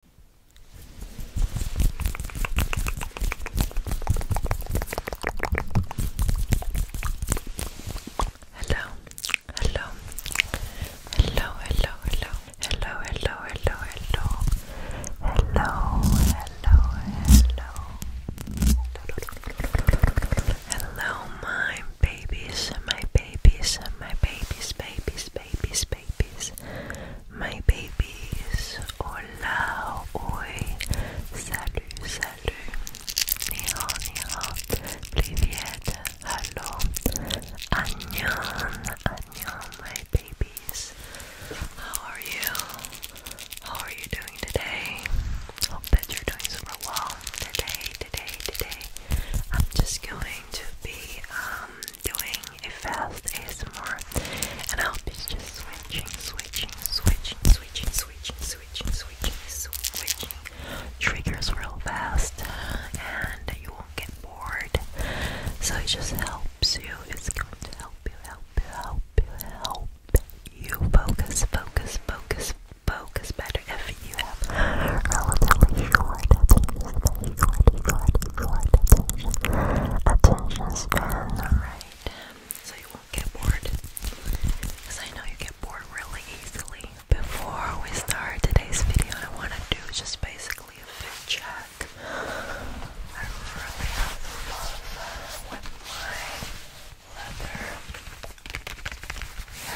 Hello, hello, hello, hello, hello, hello, hello, hello, hello, hello, hello, hello, hello, my babies, my babies, my babies, babies, babies, babies, my babies. Hola, oi, salut, salut. Ni hao, ni hao, privet, hello. Annyeong, annyeong, my babies. How are you? How are you doing today? Hope that you're doing super well today, today, today. I'm just going to be um doing a fast ASMR and I'll be just switching, switching, switching, switching, switching, switching, switching, switching triggers real fast and you won't get bored. So it just helps you. It's going to help you, help you, help you, help you focus, focus, focus, focus better if you relatively short attention short, short, attention, attention alright? So you won't get bored, because I know you get bored really easily. Before we start today's video, I want to do just basically a fit check. I really have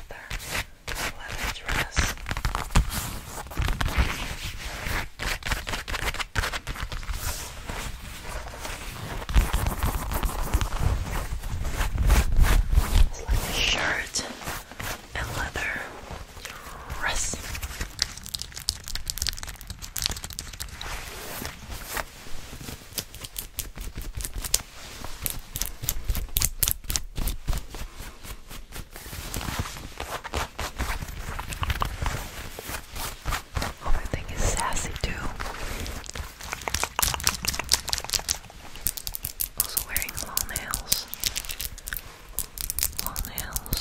my leather leather leather dress. It's shirt and leather dress. Other thing is sassy too. Also wearing long nails. Long nails.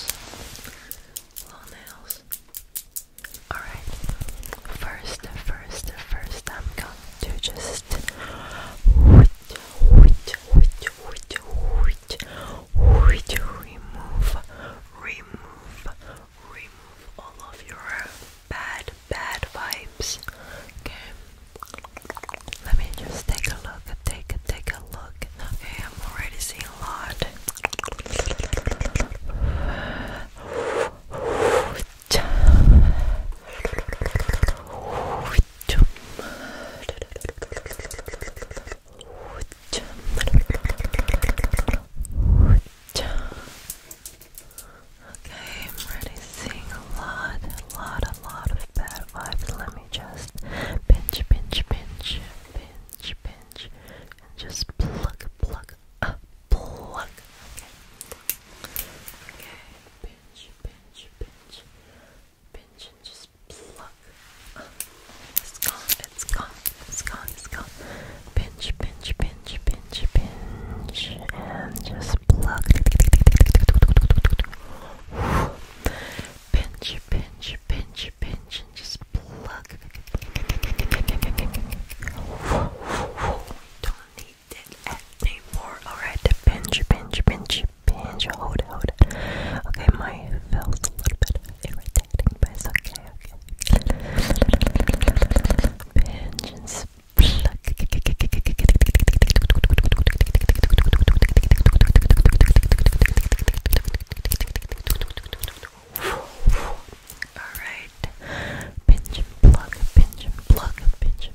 Long nails. Alright. First, first, first I'm going to just remove, remove, remove all of your bad, bad vibes. Okay, let me just take a look, take a take a look. Okay, I'm already seeing a lot. Okay, I'm really seeing a lot, a lot, a lot of bad vibes. Let me just pinch, pinch, pinch, pinch, pinch, and just pluck, pluck, pluck. Okay pinch, pinch, pinch, pinch, and just pluck. Uh, it's gone, it's gone, it's gone, it's gone. Pinch, pinch, pinch, pinch, pinch, and just pluck. Pinch, pinch, pinch, pinch, and just pluck. We don't need did anything more. Alright, pinch, pinch, pinch, pinch. Hold it, hold it. Okay, my feels a little bit irritating, but it's okay, okay. Pinch and pluck. Alright, pinch and pluck, pinch and pluck, pinch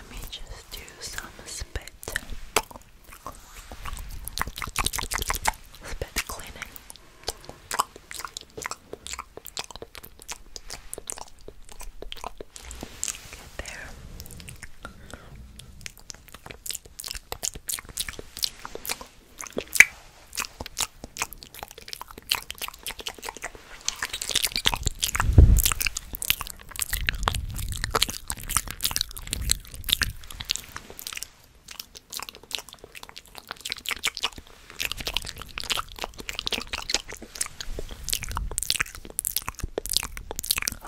let me just do some spit. Spit cleaning. there.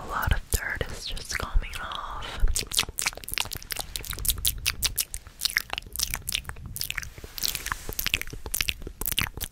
A lot of dirt is just coming off.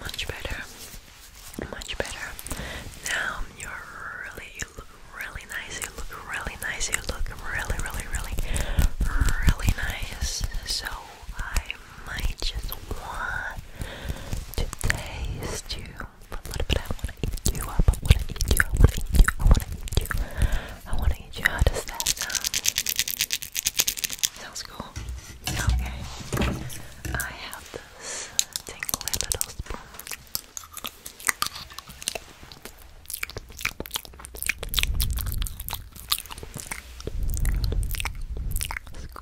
Much better. Much better. Now you look really nice. You look really nice. You look really, really, really, really nice. So I I might just want to taste you. But what about I wanna eat you up? I wanna eat you, I wanna eat you, I wanna eat you. I wanna eat you. How does that sound? Sounds cool. Okay. I have this tingly little spoon. Scoop,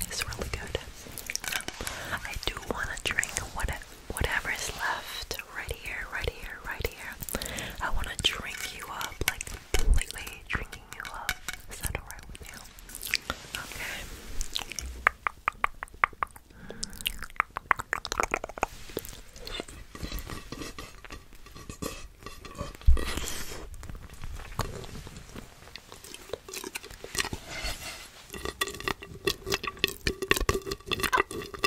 It's really good. Um, I do want to drink what whatever is left right here, right here, right here. I want to drink you up, like completely drinking you up. Is that alright with you? Okay.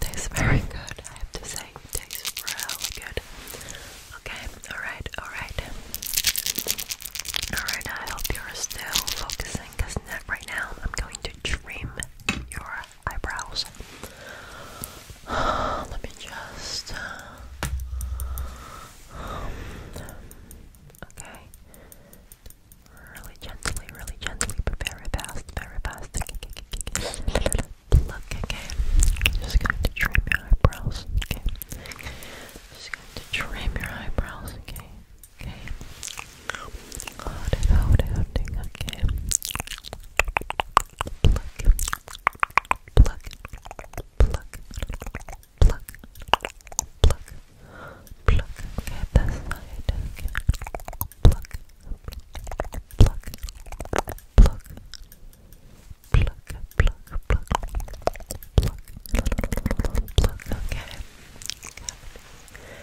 Tastes very good, I have to say. Tastes really good. Okay, alright, alright. Alright, I hope you're still focusing because right now I'm going to trim your eyebrows. let me just. Uh, okay. Really gently, really gently, very fast, very fast. Just going to trim your eyebrows. Okay. Just going to trim your eyebrows, okay? Okay. Hold it, hold it, hold it, okay. Pluck. Pluck. Pluck. Pluck. Pluck. Pluck. Okay, this side. Okay. Pluck. Pluck. Pluck. Pluck. Pluck, pluck, pluck, pluck, pluck, okay.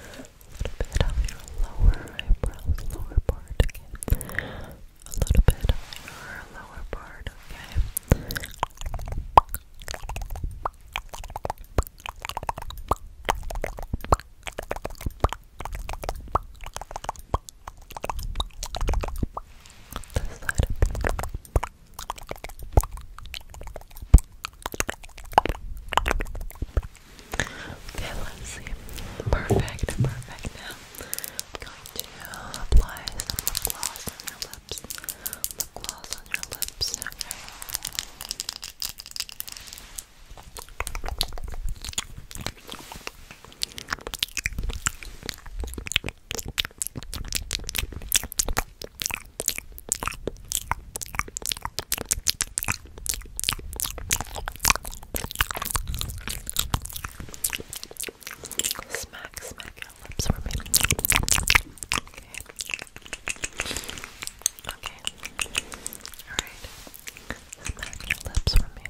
A little bit of your lower eyebrows, lower part, okay. A little bit of your lower part, okay. Okay on this side. Okay, let's see. Perfect, perfect. Now I'm going to apply some lip gloss on your lips. Lip gloss on your lips, okay. Smack, smack your lips for me. Okay. Okay. Alright. Smack your lips for me.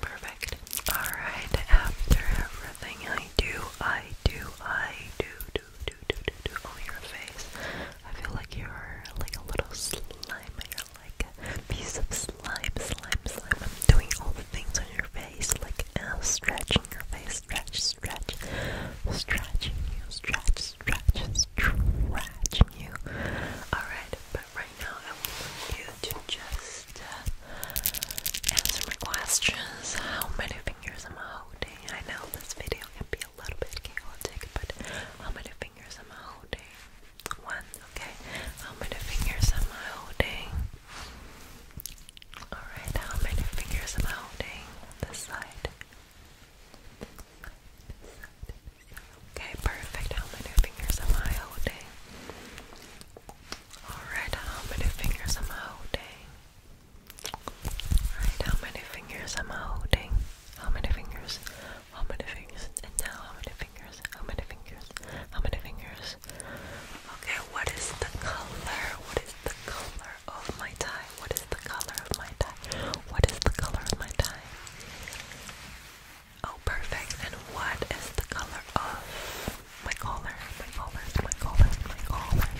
Perfect. Alright, after everything I do, I do, I do, do, do, do, do, do on your face. I feel like you're like a little slime, you're like a piece of slime, slime, slime. I'm doing all the things on your face face, like uh, stretching your face, stretch, stretch, stretching you, stretch, stretch, stretching you. Alright, but right now I want you to just uh, answer my questions. How many fingers am I holding? I know this video can be a little bit chaotic, but how many fingers am I holding? One, okay. How many fingers am I holding? Alright, how many fingers am I holding? This side. Okay, perfect. How many fingers am I holding? Alright, how many fingers am I holding? Alright, how many fingers am I holding? How many fingers? How many fingers? And now how many fingers? How many fingers? How many fingers? gosh. Okay, what is the color? What is the color of my tie? What is the color of my tie? What is the color of my tie? Oh, perfect. And what is the color of my collar? My collar, my collar, my collar.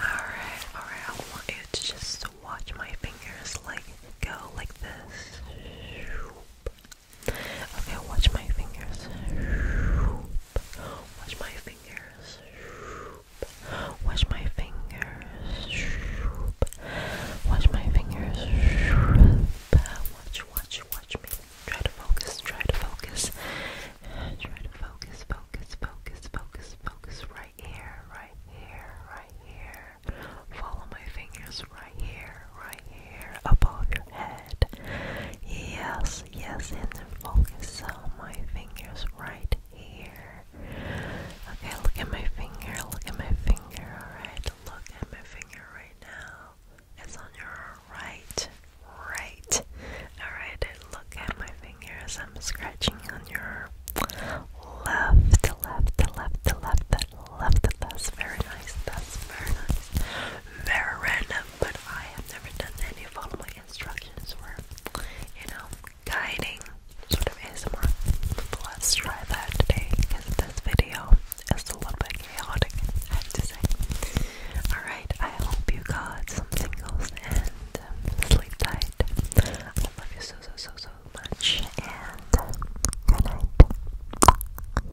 Alright, alright. I want you to just watch my fingers like go like this. Okay, watch my fingers. Watch my fingers. Watch my fingers. Watch my fingers. Watch, watch, watch me. Try to focus, try to focus. Try to focus, focus, focus, focus, focus. Right here, right here, right here. Follow my fingers right here, right here above your head. Yes, yes, and then focus on my fingers right here. Okay, look at my finger, look at my finger, alright? Look at my finger right now. It's on your right, right. Alright, look at my fingers. I'm scratching on your left, left, left, left, left. That's very nice. That's very nice very random, but I have never done any following instructions or, you know, guiding sort of ASMR. let's try that today because this video is a little bit chaotic, I have to say. Alright, I hope you got some singles and um, sleep tight. I love you so, so, so, so much, and good night.